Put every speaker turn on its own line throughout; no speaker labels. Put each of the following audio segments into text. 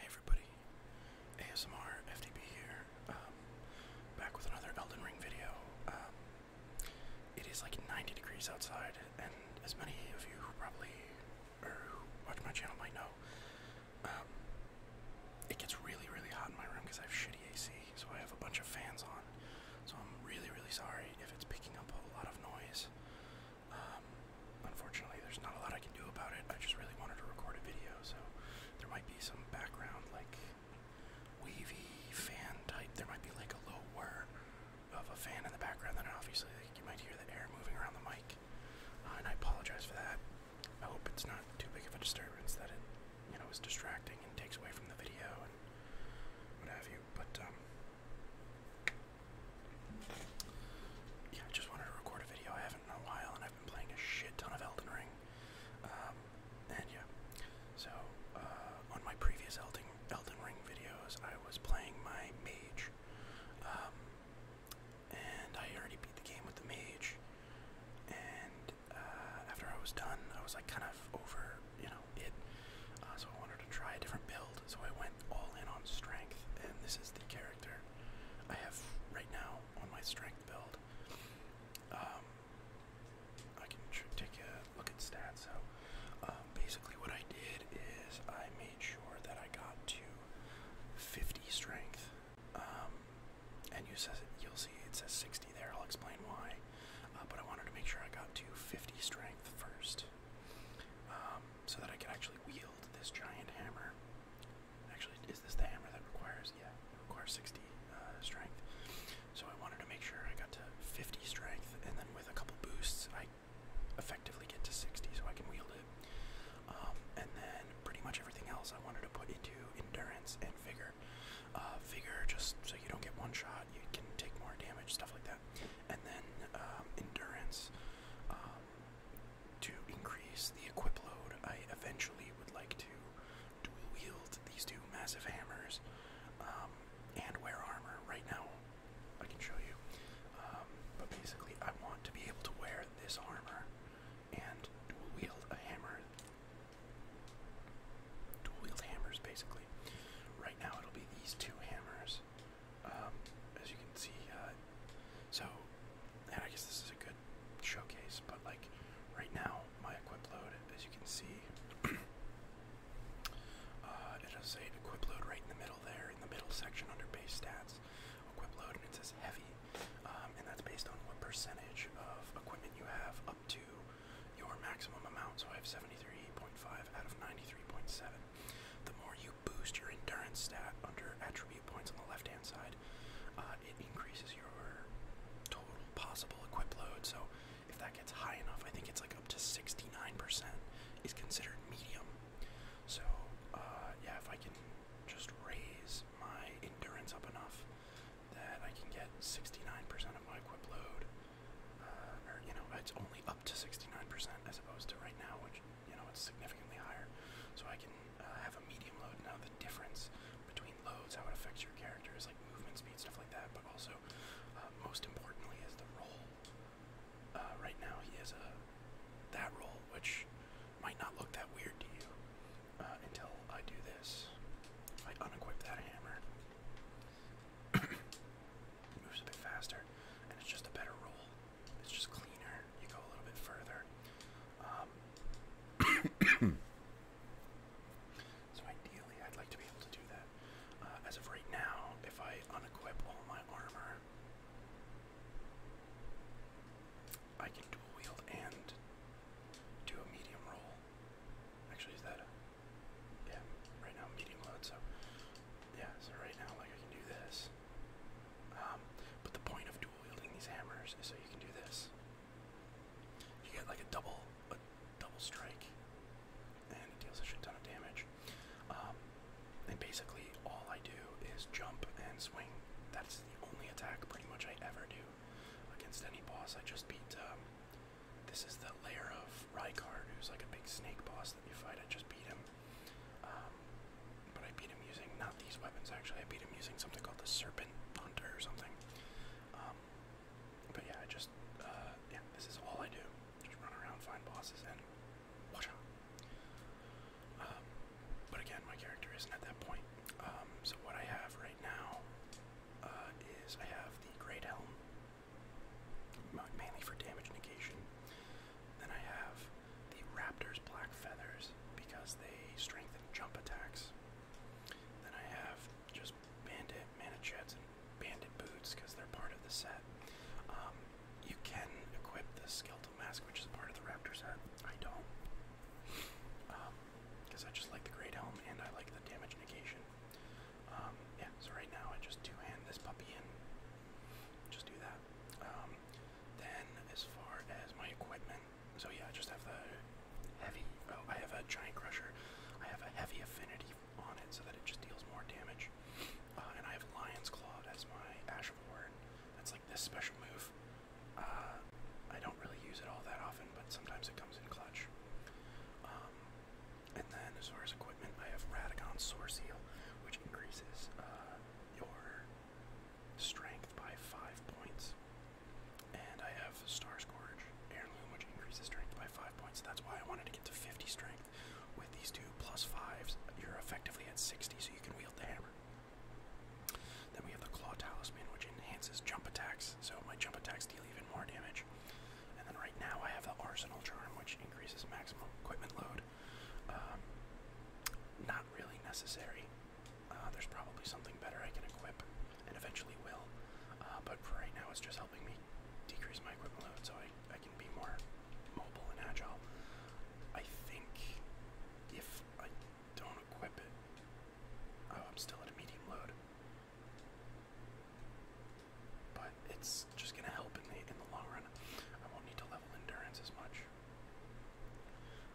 Hey everybody, ASMR FDB here, um, back with another Elden Ring video. Um, it is like 90 degrees outside, and as many of you who probably, watch my channel might know, um, it gets really, really hot in my room because I have shitty AC, so I have a bunch of fans on. So I'm really, really sorry if it's picking up a lot of noise. Um, unfortunately, there's not a lot I can do about it. I just really wanted to record a video, so there might be some background, like wavy fan type. There might be like a low whir of a fan in the background. Then obviously, you might hear the air moving around the mic, uh, and I apologize for that. I hope it's not too big of a disturbance that it, you know, is distracting and takes away from the video and what have you. But um, yeah, I just wanted to record a video. I haven't in a while, and I've been playing a shit ton of Elden Ring. Um, and yeah, so uh, on my previous Elden Elden Ring videos, I was playing my mage, um, and I already beat the game with the mage. And uh, after I was done, I was like kind of over, you know, it. Uh, so I wanted to try a different build, so I went all in on strength, and this is the character I have right now on my strength build. Um, I can take a look at stats. So um, basically, what I did is I made sure that I got to 50 strength. Um, and you says you'll see it says 60 there. I'll explain why. Uh, but I wanted to make sure I got to 50 strength first, um, so that I could actually wield this giant hammer. Actually, is this the hammer that requires? Yeah, requires 60 uh, strength. So I wanted to make sure I got to 50 strength, and then with a couple boosts, I effectively get to 60, so I can wield it. Um, and then pretty much everything else I wanted to put into endurance and vigor. Uh, vigor, just so you don't get one shot, you can take more damage, stuff like that. And then um, endurance. Um, to increase the equip load, I eventually would like to dual wield these two massive hammers um, and wear armor. Right now, I can show you. Um, but basically, I want to be able to wear this armor and dual wield a hammer. Dual wield hammers, basically. Right now, it'll be these two hammers. Um, as you can see. Uh, so, and I guess this is a good showcase, but like right now, my equip load, as you can see, uh, it'll say equip load right in the middle there, in the middle section under base stats, equip load, and it says heavy, um, and that's based on what percentage of equipment you have up to your maximum amount. So I have 73.5 out of 93.7. The more you boost your endurance stat under attribute points on the left hand side. Uh, it increases your total possible equip load. So if that gets high enough, I think it's like up to 69% is considered medium. So uh, yeah, if I can just raise my endurance up enough that I can get 69% of my equip load, uh, or you know, it's only up to 69% as opposed to right now, which you know, it's significantly higher. So I can uh, have a medium load. Now the difference between loads, how it affects your character is like movement speed, stuff like that, but also uh, most importantly is the role. Uh, right now he has a that role, which might not look that weird to you until I do this. I unequip that hammer, moves a bit faster, and it's just a better roll. It's just cleaner. You go a little bit further. Um, so ideally, I'd like to be able to do that. Uh, as of right now, if I unequip all my armor, I can dual wield and do a medium roll. Actually, is that a yeah? Right now, medium load. So yeah, so right now, like I can do this. Um, but the point of wielding these hammers, so you can do this. You get like a double, a double strike, and deals a shit ton of damage. Um, and basically, all I do is jump and swing. That's the only attack pretty much I ever do against any boss. I just beat. Um, this is the layer of Rykard, who's like a big snake boss that you fight. I just beat him um, but I beat him using not these weapons actually. I beat him using something called the Serpent Hunter or something. Um, but yeah, I just uh, yeah, this is all I do. Just run around, find bosses, and watch out. Um, but again, my character isn't at that point. Um, so what I have right now uh, is I have the Great Helm, mainly for damage negation. Then I have the Raptors Black Feathers because they strengthen jump attacks. Then I have just Bandit Manichets and Bandit Boots because they're part of the set. Um, you can equip the Skeletal Mask, which is part of the Raptor set. I don't. Because um, I just like the Great Helm and I like the damage negation. Um, yeah, so right now I just two hand this puppy in. Just do that. Then, as far as my equipment, so yeah, I just have the heavy. Oh, I have a giant crusher. I have a heavy affinity on it so that it just deals more damage. Uh, and I have Lion's Claw as my Ash That's like this special move. Uh, I don't really use it all that often, but sometimes it comes in clutch. Um, and then, as far as equipment, I have Radagon Sore Seal, which increases uh, your strength by 5 points. And I have Star Scourge Heirloom, which increases strength by 5 points. That's why I wanted to get to 50 strength. With these two plus 5s, you're effectively at 60, so you can wield the hammer. Then we have the Claw Talisman, which enhances jump attacks, so my jump attacks deal even more damage. And then right now I have the Arsenal Charm, which increases maximum equipment load um, not really necessary. Uh, there's probably something better I can equip, and eventually will. Uh, but for right now, it's just helping me decrease my equipment load so I, I can be more mobile and agile. I think if I don't equip it, oh, I'm still at a medium load. But it's just gonna help in the in the long run. I won't need to level endurance as much.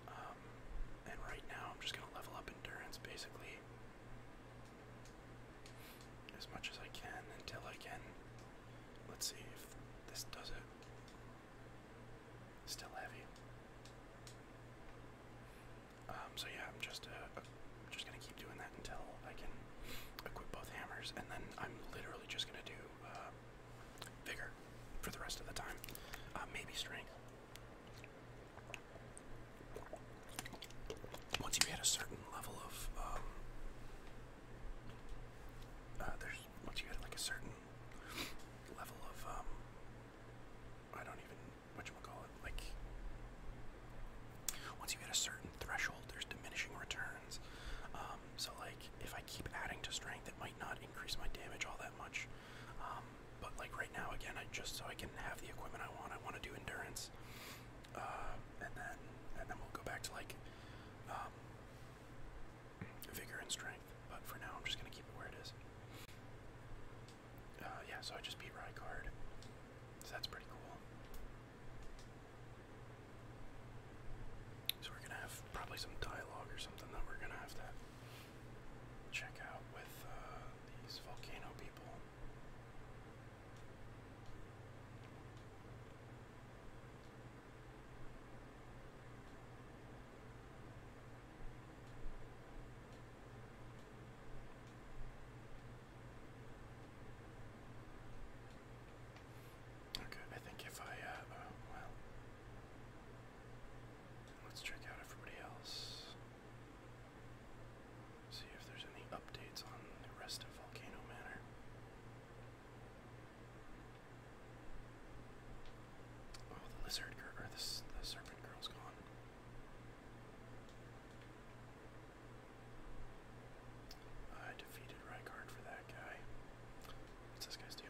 Um, and right now I'm just going to level up endurance basically as much as I can until I can. Let's see if this does it. Still heavy. Um, so yeah, I'm just uh, uh, just gonna keep doing that until I can equip both hammers, and then I'm literally just gonna do uh, vigor for the rest of the time. Uh, maybe strength. Once you hit a certain level of, um, uh, there's once you hit like a certain level of, um, I don't even whatchamacallit, like once you hit a certain threshold, there's diminishing returns. Um, so like if I keep adding to strength, it might not increase my damage all that much. Um, but like right now, again, I just so I can have the equipment I want. I want to do endurance, uh, and then and then we'll go back to like um, vigor and strength. But for now, I'm just gonna keep it where it is. Uh, yeah, so I just beat Rykard, so that's pretty cool. So we're gonna have probably some dialogue or something that we're gonna have to check out with uh, these volcano people. Okay, I think if I, uh, uh, well, Let's check out everybody else. See if there's any updates on the rest of Volcano Manor. Oh, the lizard girl, the, serpent girl's gone. I defeated Rykard for that guy. What's this guy's deal?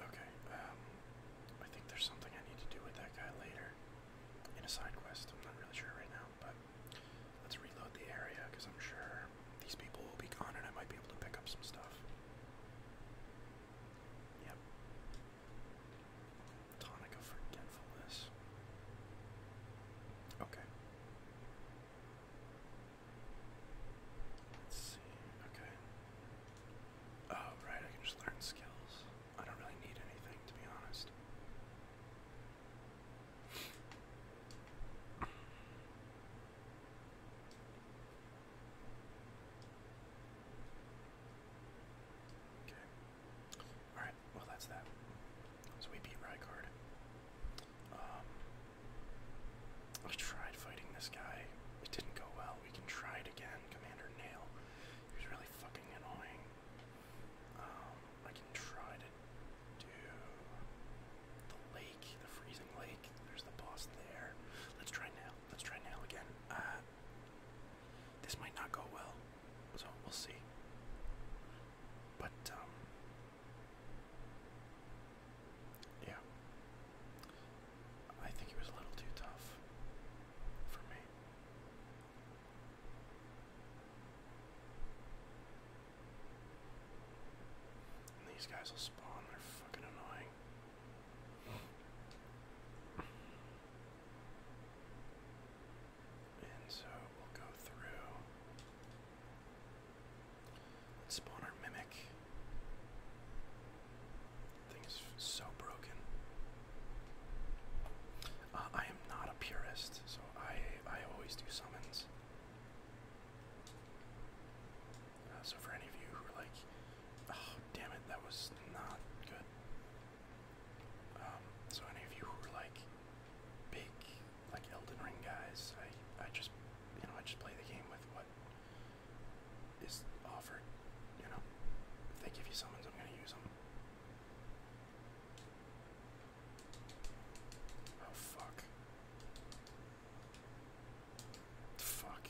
Okay, um, I think there's something I need to do with that guy later in a side quest. I'm not really sure right now, but let's reload the area because I'm sure these people will be gone and I might be able to pick up some stuff. Yep. Tonic Forgetfulness. Okay. Let's see. Okay. Oh, right, I can just learn skills. I don't really need anything, to be honest. Okay. Alright, well, that's that. So we beat Rykard. I um, tried fighting this guy. It didn't go well. We can try it again. Commander Nail. He was really fucking annoying. Um, I can try to do the lake, the freezing lake. There's the boss there. Let's try Nail. Let's try Nail again. Uh, this might not go well, so we'll see. But um, yeah. I think it was a little too tough for me. these guys will spawn, they're fucking annoying. And so go through let mimic. Thing is so broken. Uh, I am not a purist, so I I always do summons. Uh, so for any of you who are like, oh damn it, that was not good. Um, so any of you who are like big like Elden Ring guys, I I just you know I just play the game with what is offered. You know, if they give you summons, I'm gonna use them. Oh fuck! Fuck!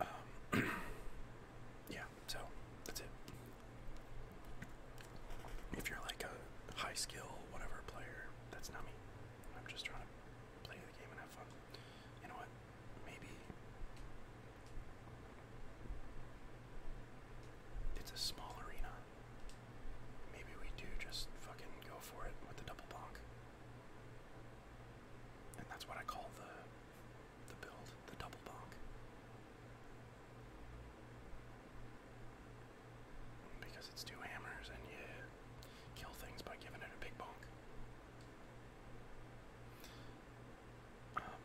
Um, yeah. So that's it. If you're like a high skill, whatever player, that's not me. I'm just trying to play the game and have fun. You know what? Maybe it's a small arena. Maybe we do just fucking go for it with the double bonk. And that's what I call the the build, the double bonk. Because it's two hammers and you kill things by giving it a big bonk. Um,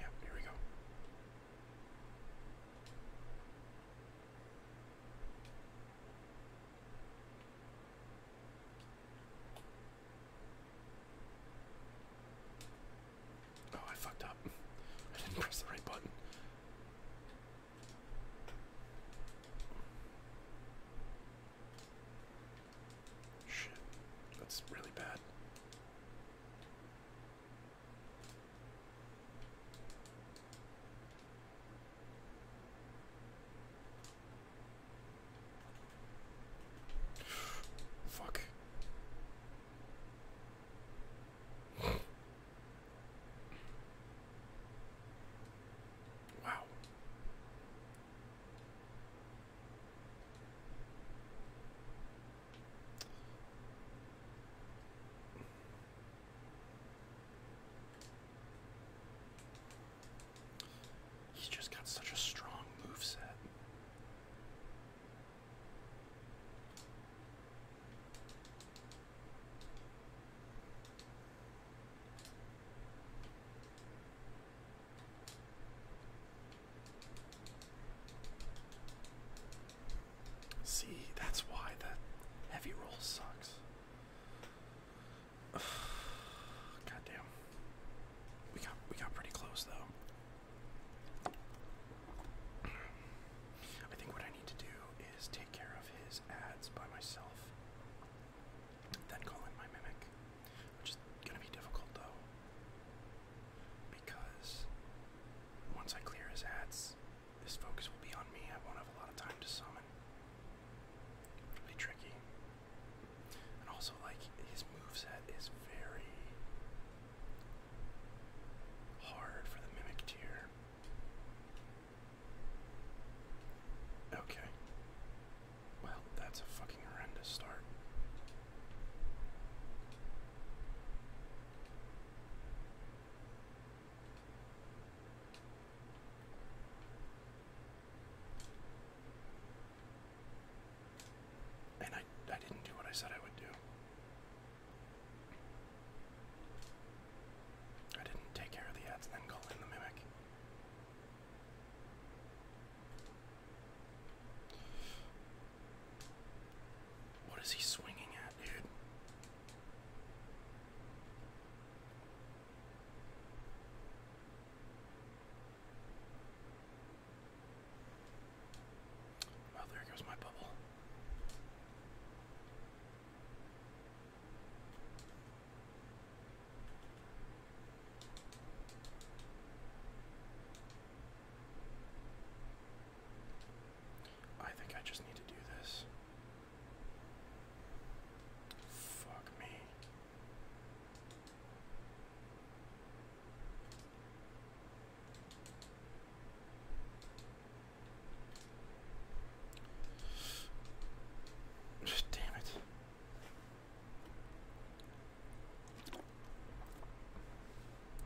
yeah, here we go. Oh, I fucked up. I didn't press the right button. Shit, that's really bad. Fuck. Wow. He's just got such a strong move set. See, that's why the heavy roll sucks. God We got we got pretty close though. I think what I need to do is take care of his ads by myself, then call in my mimic, which is gonna be difficult though, because once I clear his ads, his focus will be on me. I won't have a lot of time to summon. Really tricky. And also, like, his moveset is very Hard for the mimic tier. Okay. Well, that's a fucking horrendous start. And I I didn't do what I said I would do. I didn't take care of the ads then call in the mimic. What is he swinging at, dude? Well, oh, there goes my bubble. I think I just need to do this. Fuck me. Damn it.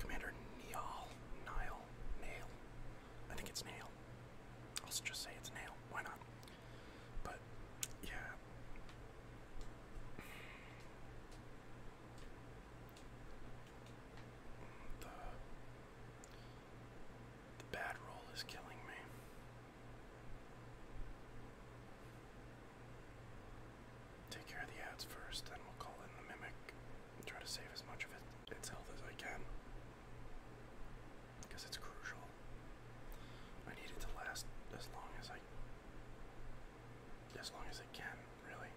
Commander Niall, Nile, Nail. I think it's Nail. I'll just say it's Nail. Why not? But, yeah. The, bad roll is killing me. Take care of the ads first, then we'll call in the mimic try to save as much of its health as I can. Because it's crucial. I need it to last as long as I as long as it can, really.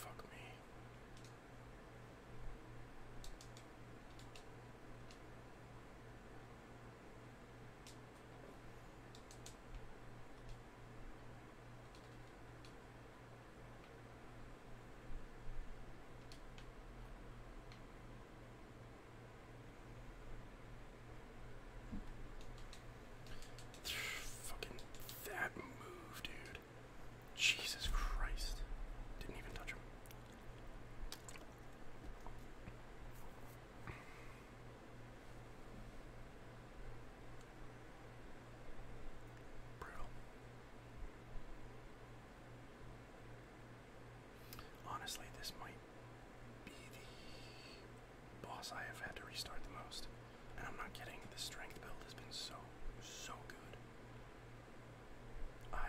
Fuck me. Fucking that move, dude. Jesus Christ. Didn't even touch him. Honestly, this might be the boss I have had to restart the most. And I'm not kidding, the strength build has been so, so good. I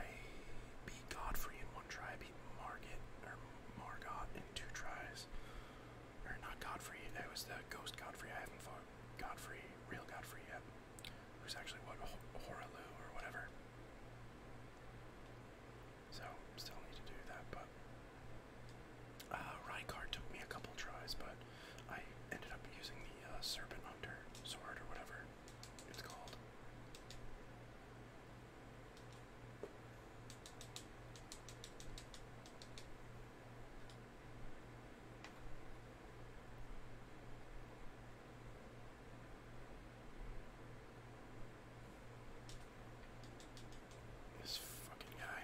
beat Godfrey in one try, I beat Margot or Margot in two tries. Or not Godfrey, it was the ghost Godfrey. I haven't fought Godfrey, real Godfrey yet. Who's actually what Horaloo or whatever. So still need to do that, but uh, took me a couple tries, but I ended up using the uh, Serpent Hunter sword or whatever it's called. This fucking guy.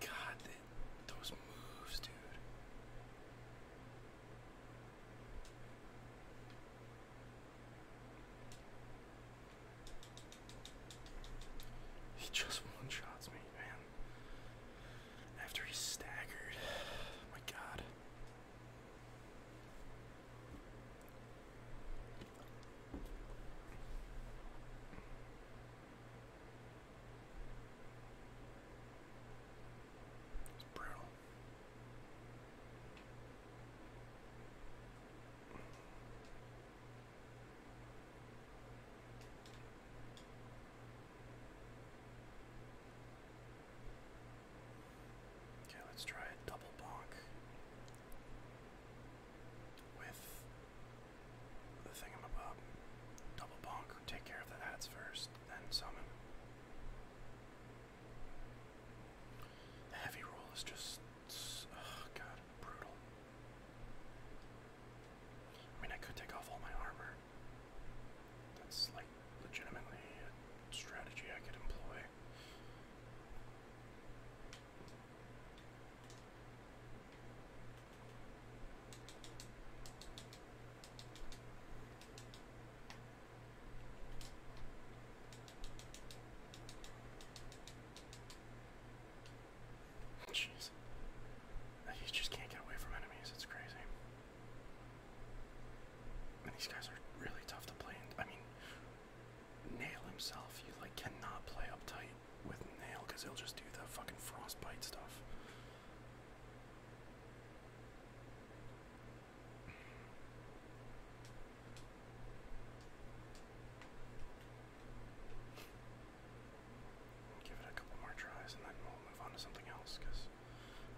God, those moves, dude. He just one shots me, man. After he staggered. My god. Okay, let's try a double bonk with the thingamabob. Double bonk, take care of the ads first, then summon. The heavy roll is just, oh god, brutal. I mean, I could take off all my armor. That's like legitimately a strategy I could employ. Jeez. You just can't get away from enemies, it's crazy. And these guys are really tough to play. I mean, Nail himself, you like cannot play uptight with Nail because he'll just do the fucking frostbite stuff. Give it a couple more tries and then we'll move on to something else because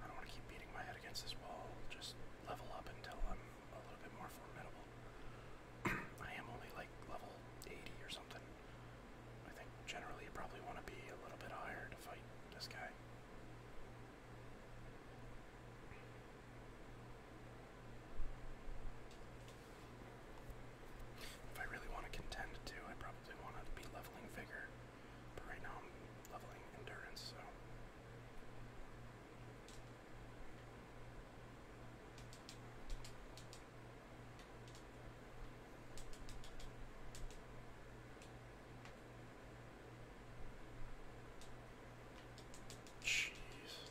I don't want to keep beating my head against this wall. Just level up until I'm a little bit more formidable. I am only like level 80 or something. I think generally you probably want to be a little bit higher to fight this guy. If I really want to contend too, I probably want to be leveling vigor, but right now I'm leveling endurance, so. Jeez.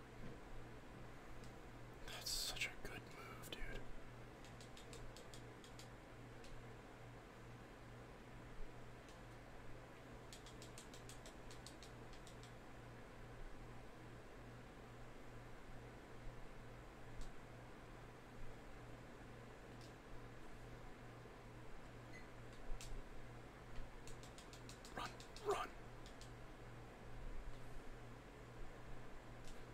That's such a good move, dude. Run, run.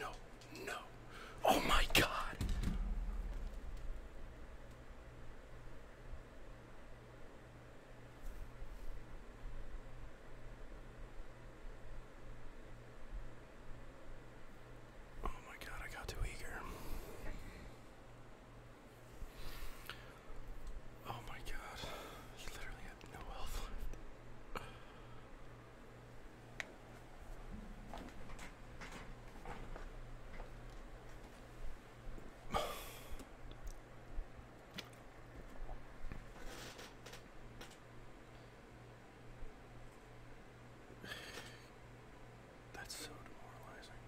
No, no. Oh my god. Oh my god, I got too eager. Oh my god. He literally had no health that's so demoralizing.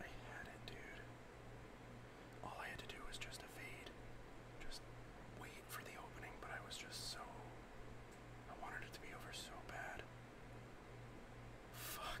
I had it, dude. All I had to do was just evade, just wait for the opening, but I was just so. I wanted it to be over so bad. Fuck.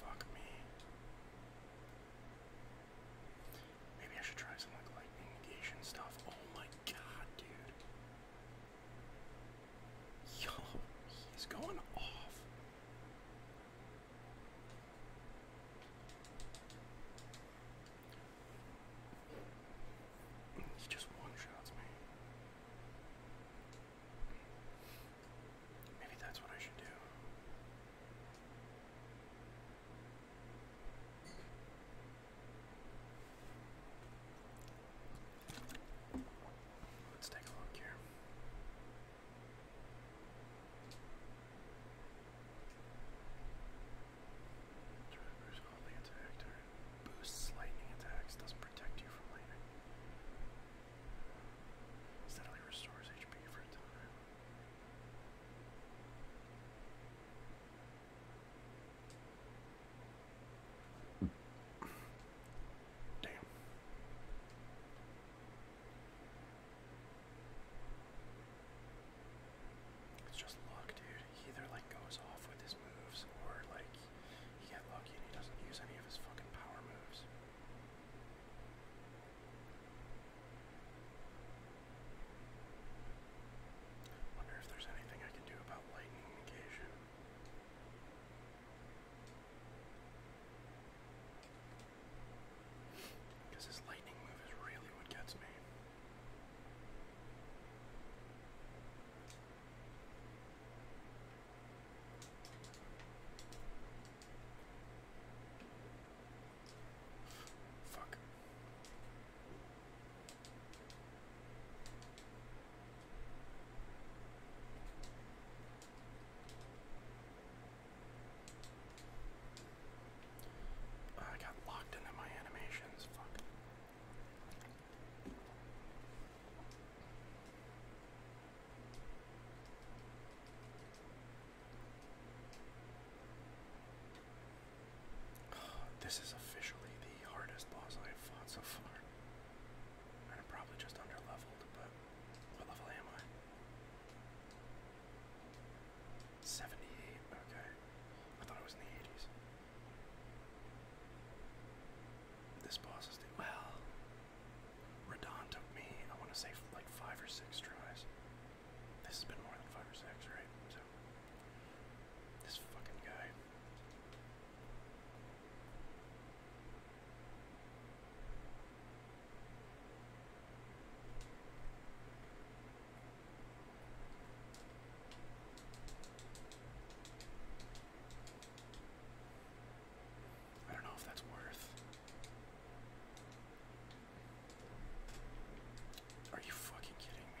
Fuck me. Maybe I should try some like lightning negation stuff. Oh my god, dude. Yo, he's going off. He just one shots me. Maybe that's what I should do. Let's take a look here. Driver's only attack turn. Boosts lightning attacks, doesn't protect you from lightning. Steadily restores HP for a time. Damn. It's just luck, dude. He either like goes off with his moves or like he gets lucky and he doesn't use any of his fucking power moves. Wonder if there's anything I can do about lightning negation. Because his lightning move is really what gets me. Fuck. I got locked into my animations. Fuck. this is officially the hardest boss I have fought so far. And I'm probably just under leveled, but what level am I? Seventy-eight. Okay, I thought it was in the eighties. This boss is the well. Radon took me. I want to say like five or six tries. This has been more than five or six, right? So this fucking guy. I don't know if that's worth. Are you fucking kidding me?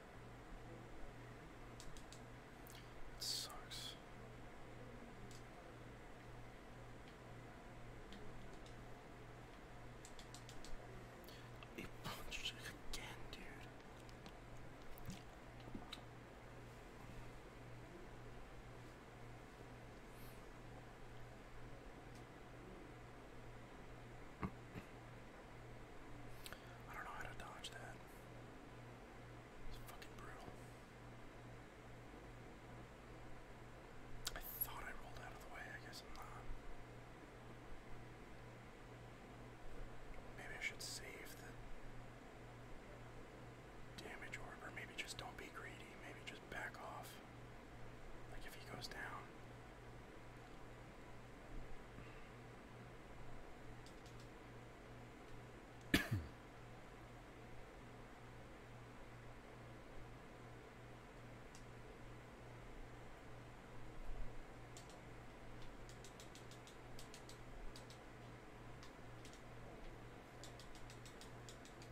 It sucks. He punched again, dude. I don't know how to dodge that. It's fucking brutal. I thought I rolled out of the way, I guess I'm not. Maybe I should save the damage orb, or maybe just don't be greedy, maybe just back off. Like if he goes down.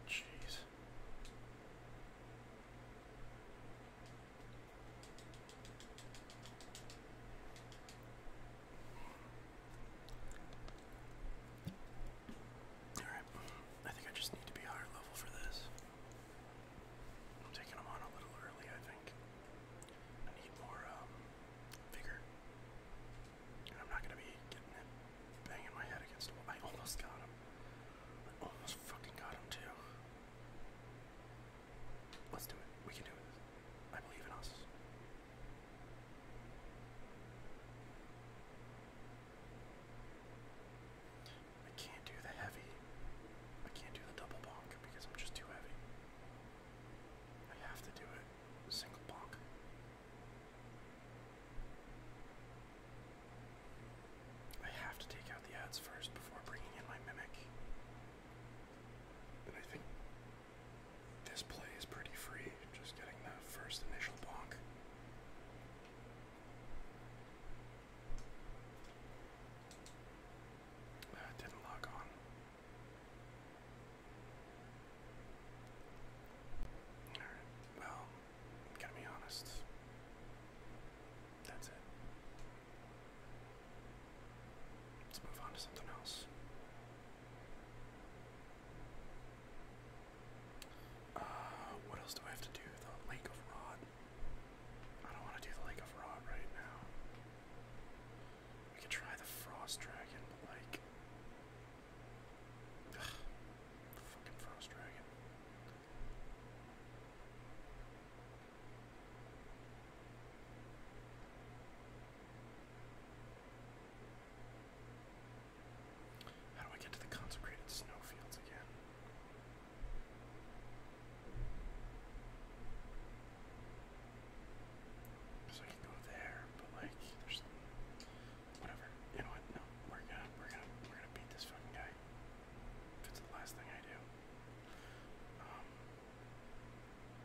Jeez. Alright, I think I just need to be higher level for this. I'm taking them on a little early, I think. I need more um, vigor. I'm not gonna be getting it banging my head against a wall. I almost got him. I almost fucking got him too. Let's do it. We can do it. I believe in us. I can't do the heavy. I can't do the double bonk because I'm just too heavy. I have to do it single bonk. I have to take out the ads first before bringing in my mimic. And I think this play is pretty free, just getting that first initial bonk. That didn't lock on. Alright, well, i to be honest. That's it. Let's move on to something else. Uh, what else do I have to do? The Lake of Rod. I don't want to do the Lake of Rod right now. We could try the Frost Dragon, but the fucking Frost Dragon. How do I get to the consecrated snowfields again? So I can go there, but like, there's whatever. You know what? No, we're gonna, we're gonna, we're gonna beat this fucking guy. If it's the last thing I do. Um,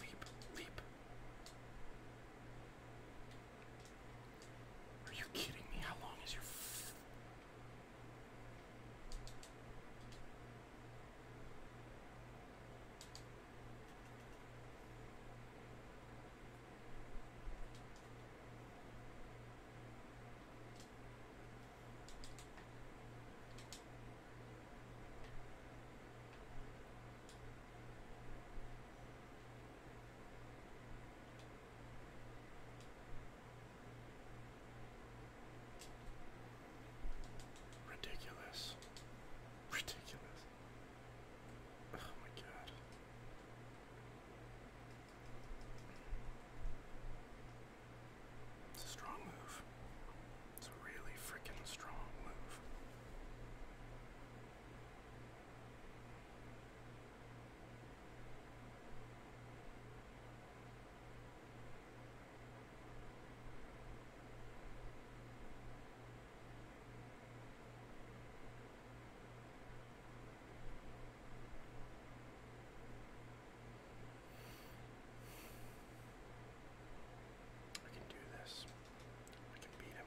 Leap, leap. Are you kidding me? How long is your f Ridiculous. Ridiculous. Oh my god. It's a strong move. It's a really freaking strong move. I can do this. I can beat him.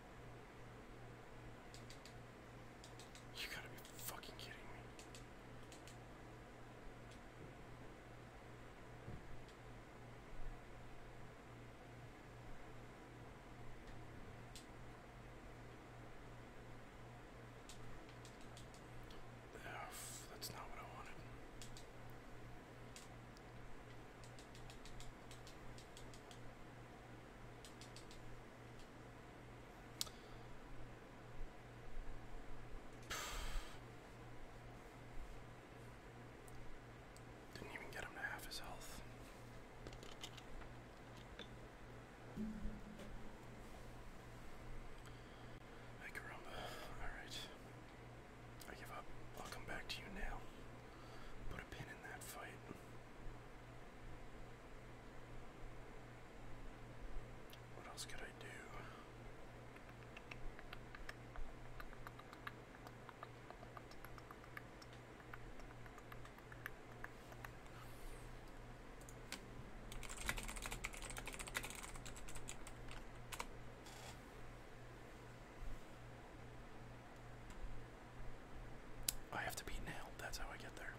You gotta be fucking kidding me. Ugh, that's not what I wanted. Didn't even get him to half his health. Hey, Alright. I give up. I'll come back to you now. Put a pin in that fight. What else could I do? I have to be nailed, that's how I get there.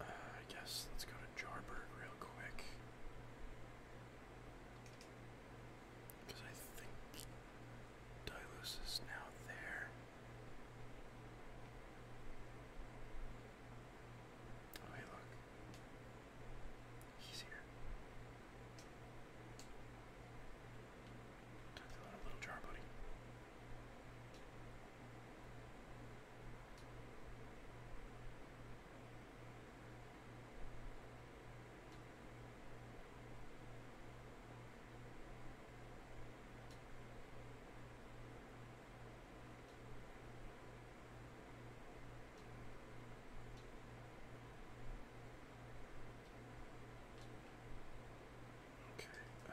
Uh, I guess let's go to Jarberg real quick. Because I think Dilos is now there. Oh, hey, look. He's here. Took the little, little jar, buddy. Okay. Uh.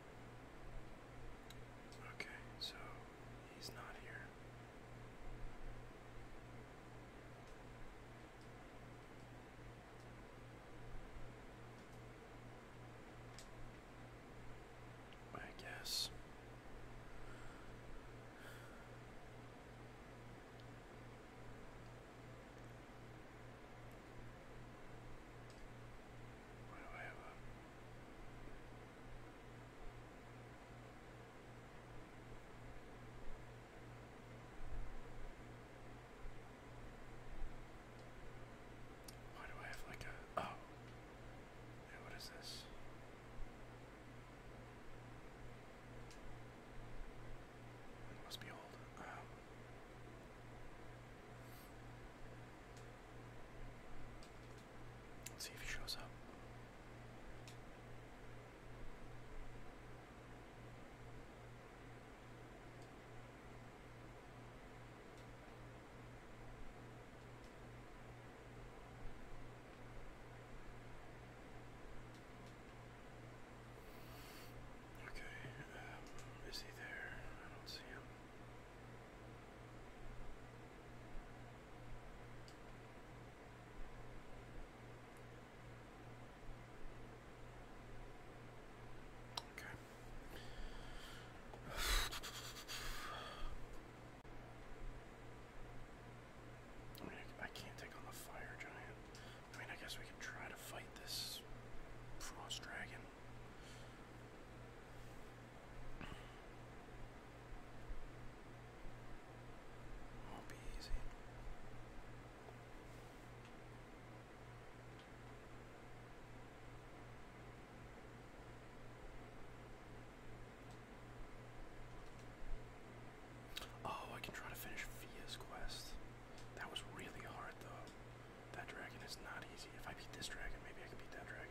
Okay, so he's not here. I guess. Why do I have like a oh? what is this? It must be old. Um. Let's see if he shows up. Okay, um, is he there? I don't see him. Okay. I, can't take on the fire giant. I mean, I guess we can try to fight this frost dragon. Won't be easy. Oh, I can try to finish Fia's quest. That was really hard, though. That dragon is not easy. If I beat this dragon, maybe I can beat that dragon.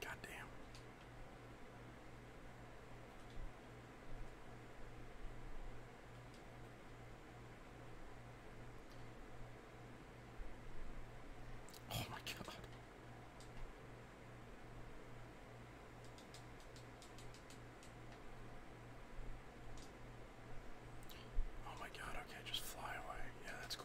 God damn. Oh my god. Oh my god, okay, just fly away. Yeah, that's cool.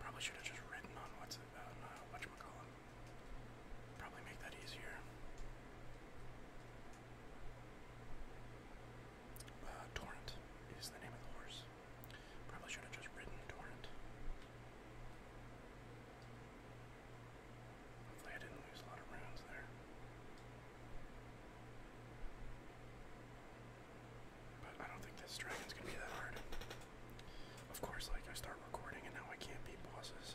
Probably should have just written on what's about it about uh, whatchamacallit. Probably make that easier. Uh, torrent is the name of the horse. Probably should have just ridden Torrent. Hopefully, I didn't lose a lot of rounds there. But I don't think this dragon's gonna be that hard. Of course, like I start recording and now I can't beat bosses.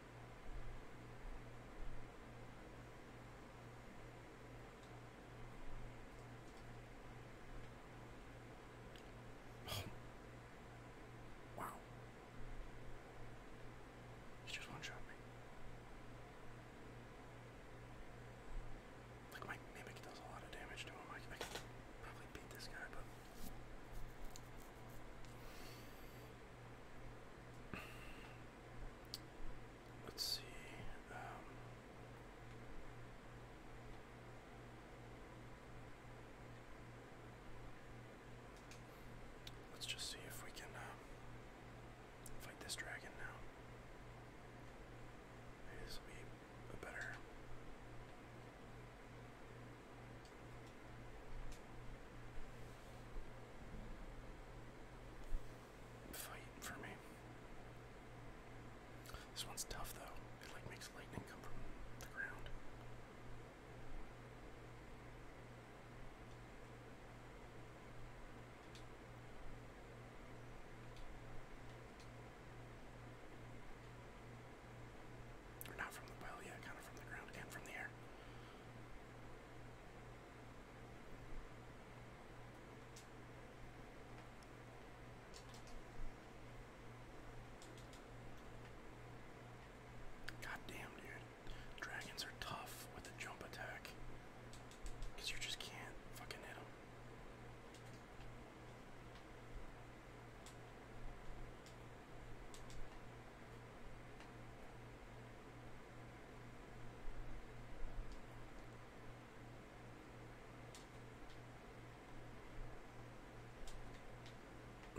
Oh. Wow. He just one shot me. Like my mimic does a lot of damage to him. probably beat this guy, but Let's see. Um, let's just see if we can uh, fight this dragon now. Maybe this will be better fight for me. This one's tough though. It like makes lightning come from the ground. Or not from the well, yeah, kind of from the ground and from the air. God damn, dude. Dragons are tough with a jump attack. Because you just can't fucking hit them.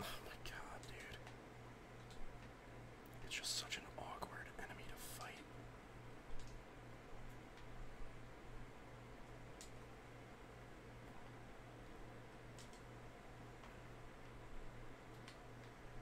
Oh my god, dude. It's just such an awkward enemy to fight.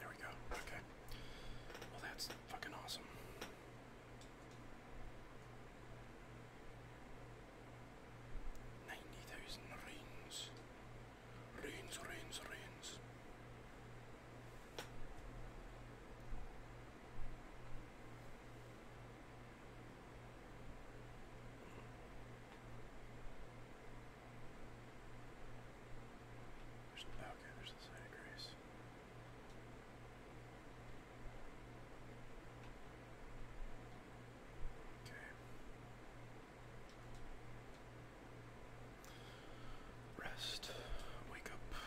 There we go. Okay. Well, that's fucking awesome. Ninety thousand rains. Rains, rains, rains. There's, okay, there's the sign of grace. Okay. Rest. Wake up.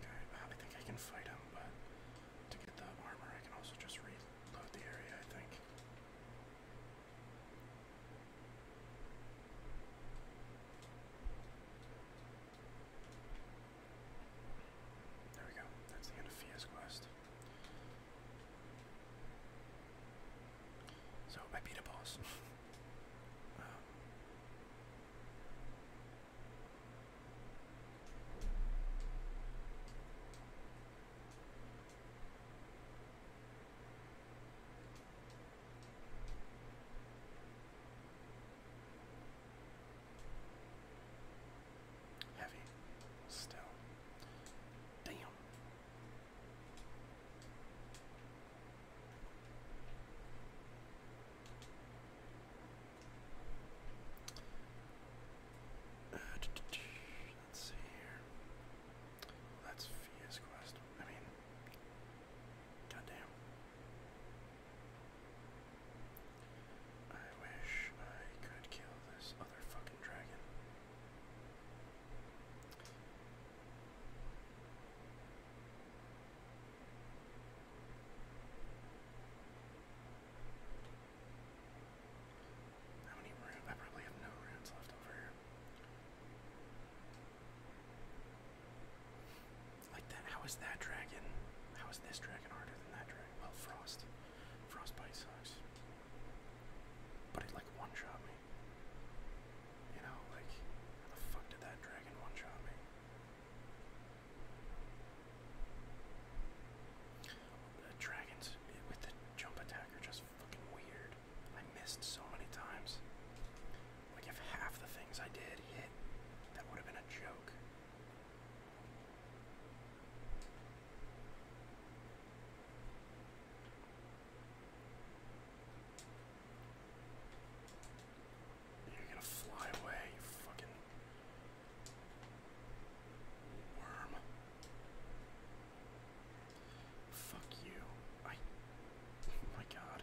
Okay, I think I can fight him, but to get the armor, I can also just reload the area, I think. There we go. That's the end of Fia's quest. So I beat a boss. Um, Heavy. Still. Damn. Uh, let's see here. That's Fia's quest. I mean, goddamn. I wish I could kill this other fucking dragon. How many runes? I probably have no runes left over here. Like that, how is that dragon? How is this dragon harder than that dragon? Well, Frost. frost Frostbite sucks. But it like one shot me. You know, like, how the fuck did that dragon one shot me? dragons eh, with the jump attack are just fucking weird. I missed so many times. Like, if half the things I did hit, that would have been a joke. You're gonna fly away, you fucking worm. Fuck you. I. Oh my god.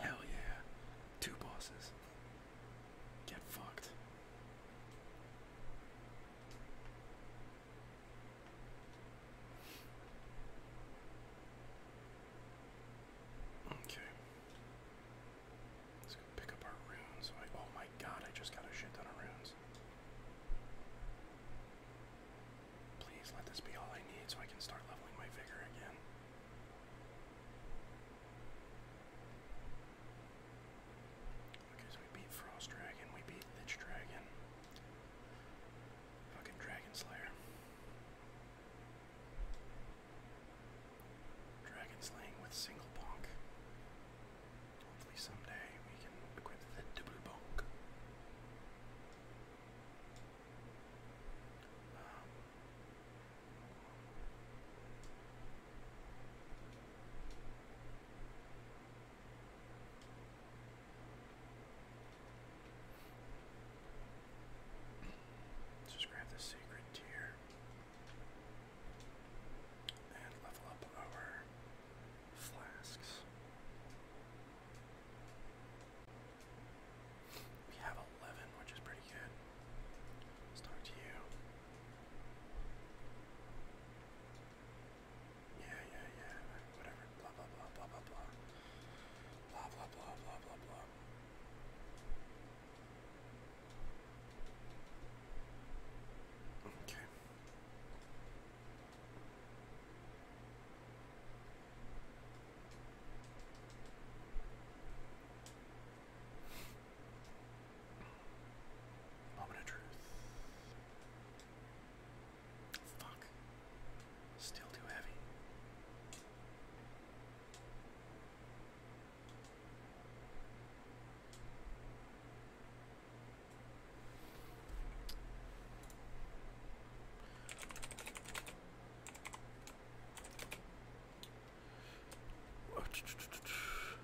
Hell yeah. Two bosses. Get fucked. Okay. Let's go pick up our runes. Oh, oh my god, I just got a shit ton of runes. Please let this be all I need so I can start leveling my vigor again. Because we beat Frost Dragon, we beat Ditch Dragon. Fucking Dragon Slayer. Dragon Slaying with Single Bonk. Hopefully someday we can equip the double bonk. Um, just grab the sacred tier and level up our flasks. We have 11, which is pretty good. Let's talk to you yeah, yeah, yeah, whatever, blah, blah, blah, blah, blah, blah, blah, blah, blah, blah, blah, blah. Okay. Moment of truth. Fuck. Still too heavy.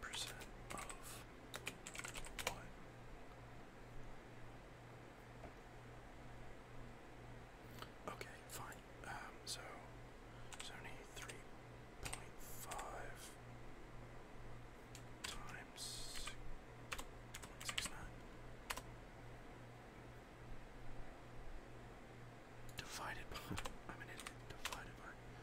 percent of one. Okay, fine. Um, so seventy three point five times point six nine divided divided by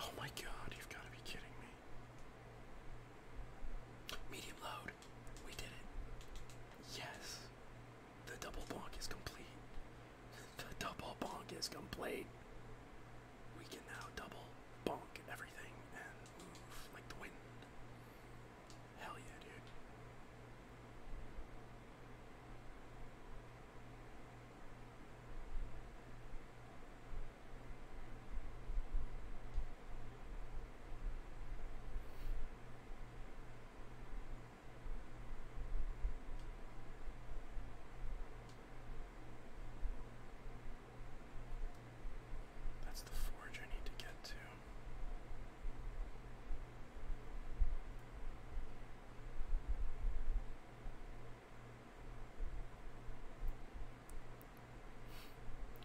Oh my god, you've got to be kidding me. Medium load. We did it. Yes. The double bonk is complete. the double bonk is complete. We can now double bonk everything and move like the wind. Hell yeah, dude. That's the forge I need to get to.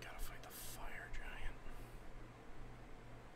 Gotta fight the fire giant.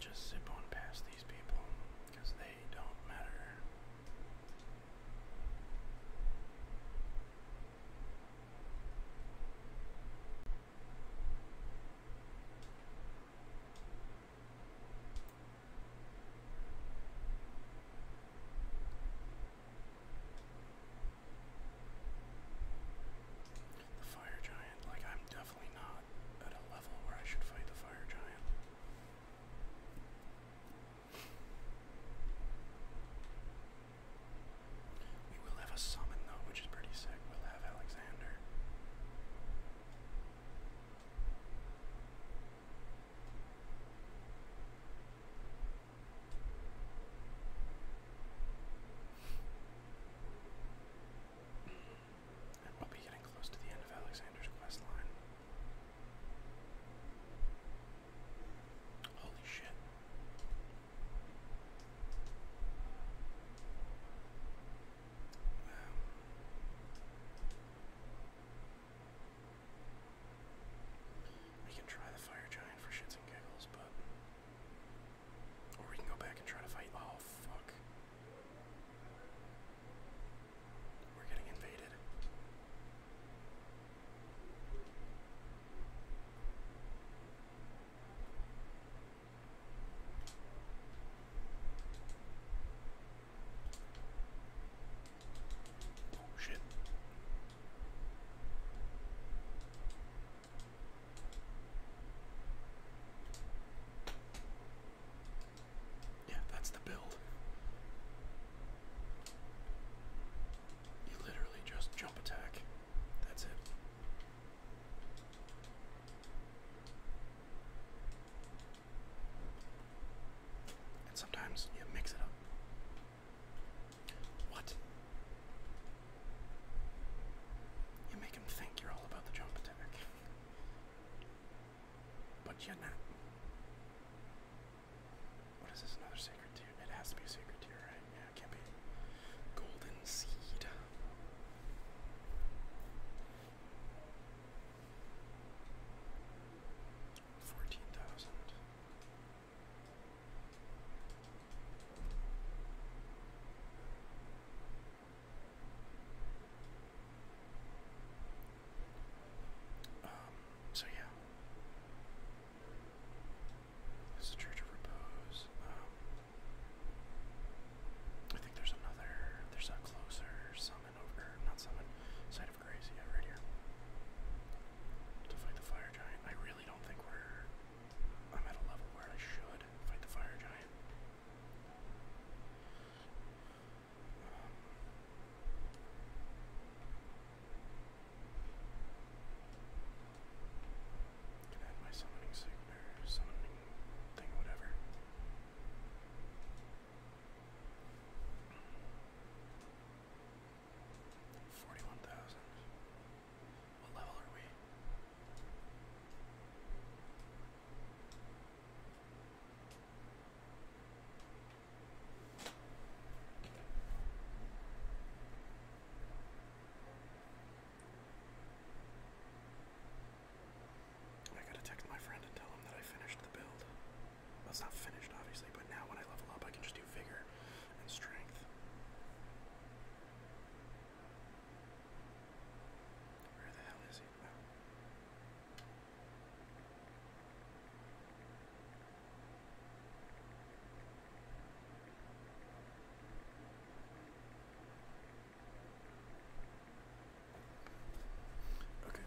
Just zip on past these people they don't matter. The fire giant, like I'm definitely not at a level where I should fight the fire giant. We will have a summon though, which is pretty sick. We'll have Alexander we'll be getting close to the end of Alexander's quest line. Holy shit. we can try the fire giant for shits and giggles, but or we can go back and try to fight. Oh, fuck. We're getting invaded. Oh shit. Yeah, that's the build. You literally just jump attack. That's it. And sometimes you mix it up. What? You make them think you're all about the jump attack, but you're not. What is this? Another sacred tier? It has to be a sacred tier, right? Yeah, it can't be. Golden seed. Fourteen thousand. Um, so yeah. It's the Church of Repose. Um, I think there's another, there's a closer summon over, not summon, Side of Grace, yeah, right here. To fight the fire giant. I really don't think we're I'm at a level where I should fight the fire giant. Um, my summoning signal, summoning thing, whatever. Forty-one thousand. What I gotta text my friend and tell him that I finished the build. Well, not finished, obviously, but now when I level up, I can just do vigor and strength. Where the hell is he? Okay.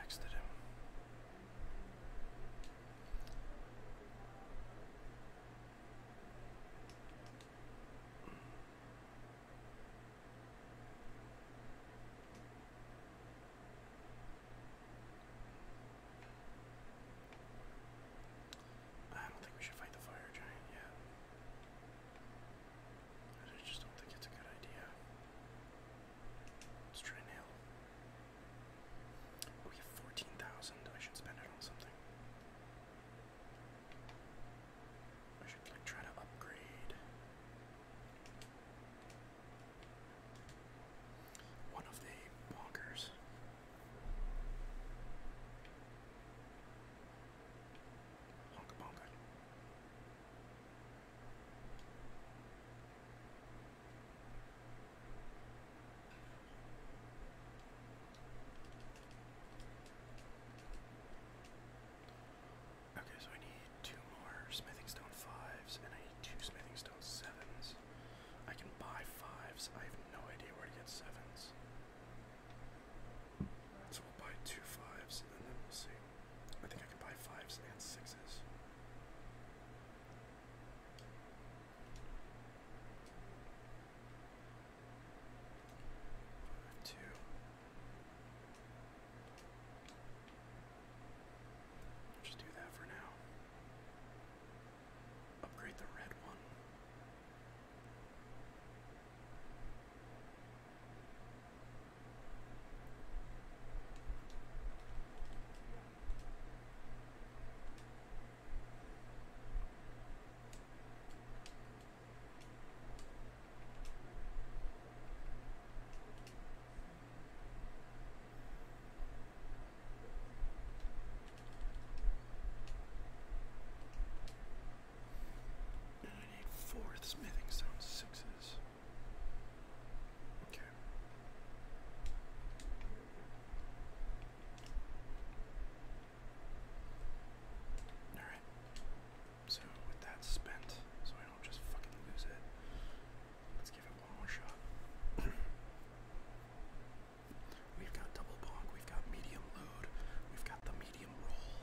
Texted him. I don't think we should fight the fire giant yet. I just don't think it's a good idea. Let's try nail him. We have 14,000. I should spend it on something. I should like try to upgrade one of the bonkers. Honka bonka. Okay, so I need two more smithing stone fives, and I need two smithing stone sevens. I can buy fives. I have no idea where to get sevens. So we'll buy two fives, and then we'll see. I think I can buy fives and sixes. Two. Just do that for now. Upgrade the red one. And I need fourth smithing stone sixes. Okay. Alright. So, with that spent, so I don't just fucking lose it, let's give it one more shot. we've got double bonk, we've got medium load, we've got the medium roll.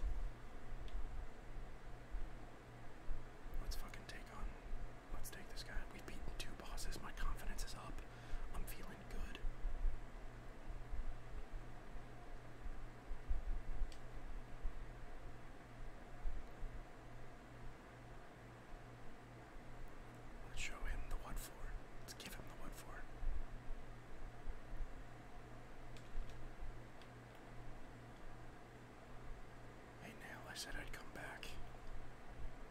Let's fucking take on Let's take this guy. We've beaten two bosses. My confidence is up. I'm feeling good. Let's show him the what Let's give him the what Hey, Nail, I said I'd come back.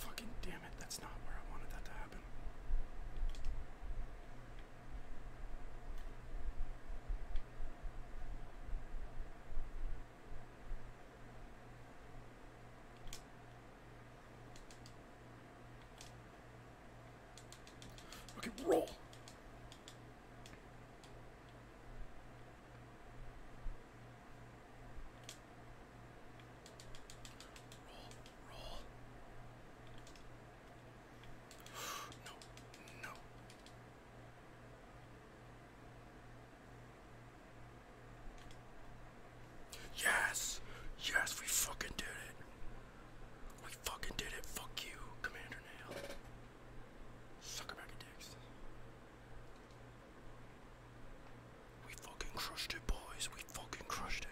Fucking damn it, that's not where I wanted that to happen. Okay, roll. Yes! Yes, we fucking did it! We fucking did it. Fuck you, Commander Nail. Suck a dicks. We fucking crushed it, boys. We fucking crushed it.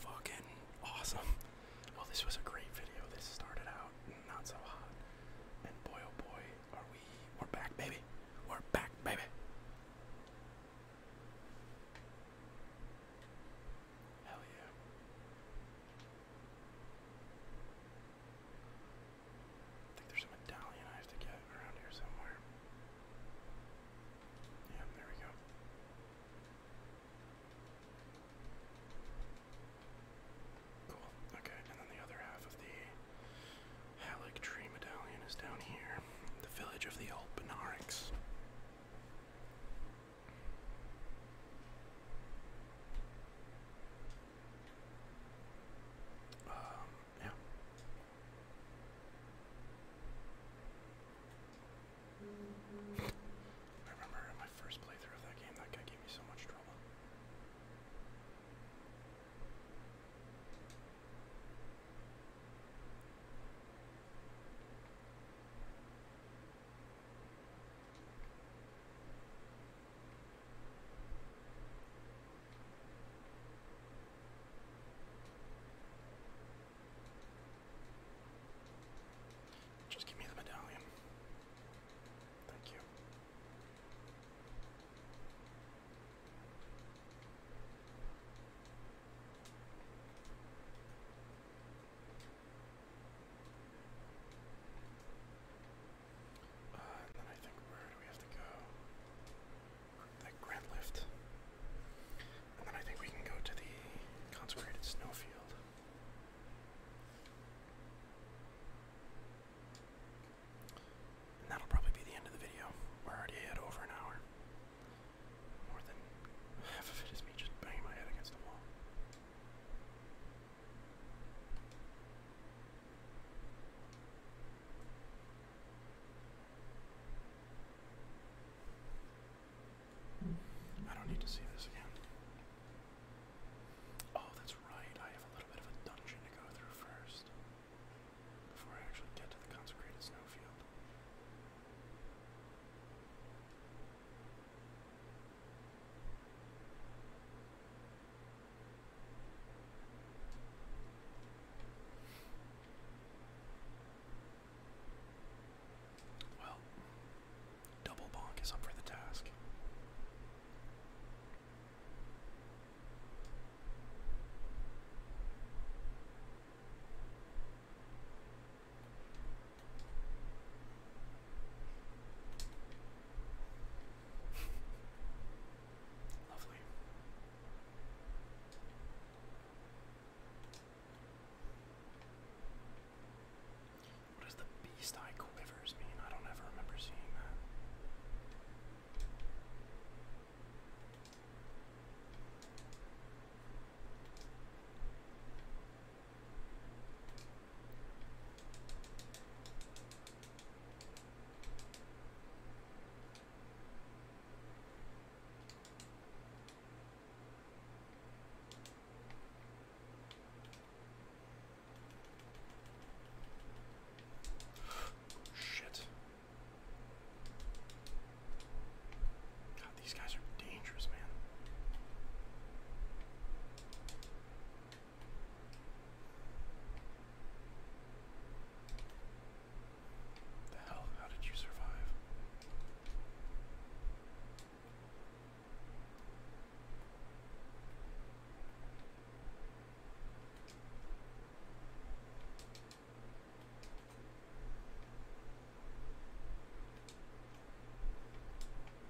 Fucking awesome. Well, this was a great video. This started out not so hot. And boy, oh boy, are we. We're back, baby. We're back, baby. Hell yeah. I think there's a medallion I have to get around here somewhere. Yeah, there we go. Cool. Okay, and then the other half of the Halleck Tree Medallion is down here. The village of the old Um, yeah. I remember my first playthrough of that game, that guy gave me so much trouble. Just give me the medallion. Thank you. Uh, then I think where do we have to go? That grand lift. And then I think we can go to the consecrated snowfield that'll probably be the end of the video. We're already at over an hour. More than half of it is me just banging my head against the wall. I don't need to see this again. Oh, that's right. I have a little bit of a dungeon to go through first before I actually get to the consecrated snowfield. Well, double bonk is up for the task. Lovely. What does the beast eye quivers mean? I don't ever remember seeing that. Shit. God, these guys are dangerous, man. The hell? How did you survive?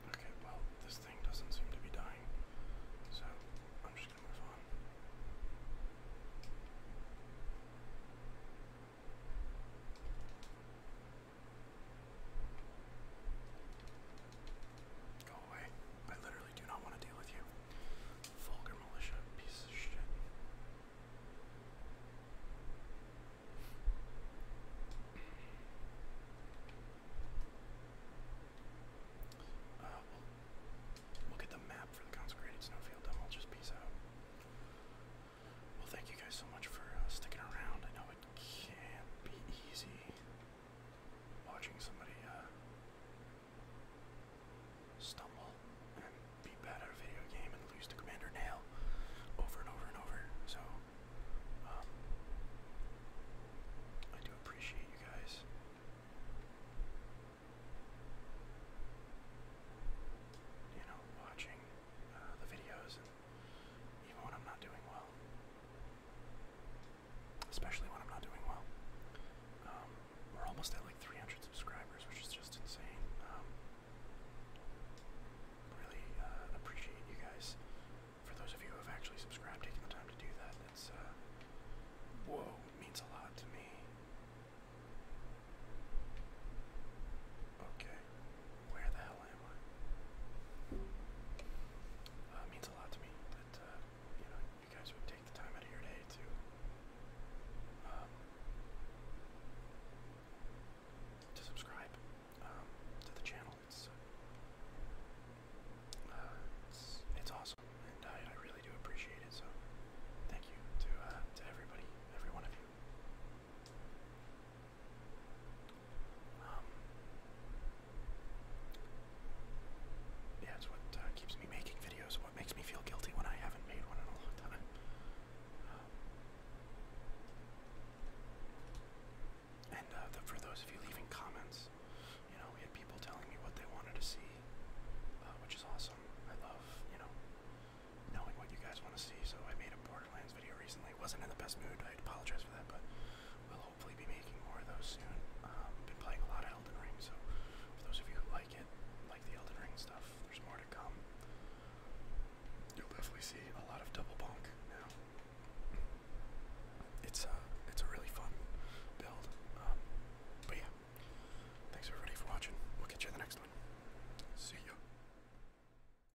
Okay, well, this thing doesn't seem to be dying, so I'm just gonna move on. Go away. I literally do not want to deal with you. Vulgar militia, piece of shit. Uh, we'll get the map for the consecrated snowfield, then we'll just peace out. Well, thank you guys so much for uh, sticking around. I know it can not be easy watching somebody uh, stumble and be bad at a video game and lose to Commander Nail over and over and over. So, um, I do appreciate you guys. You know, watching uh, the videos even when I'm not doing well. Especially when I'm not doing well. Um, we're almost at like 300 subscribers, which is just insane. Um, really uh, appreciate you guys. For those of you who have actually subscribed, taking the time to do that, it's uh, whoa, means a lot to me. Okay, where the hell am uh, means a lot to me that uh, you guys would take the time out of your day to um, to subscribe um, to the channel. Uh, it's it's, awesome, and I, I really do appreciate it. So thank you to to everybody, every one of you. Um, yeah, it's what uh, keeps me making videos, what makes me feel guilty when I haven't made one in a long time. Um, and uh, the, for those of you leaving comments, you know, we had people telling me what they wanted to see, uh, which is awesome. I love, you know, knowing what you guys want to see. So I made a Borderlands video recently wasn't in the best mood. I apologize for that, but we'll hopefully be making more of those soon. Um, been playing a lot of Elden Ring, so for those of you who like it, like the Elden Ring stuff, there's more to come. You'll definitely see a lot of double bonk now. It's a uh, it's a really fun build. Um, but yeah, thanks everybody for watching. We'll catch you in the next one. See you.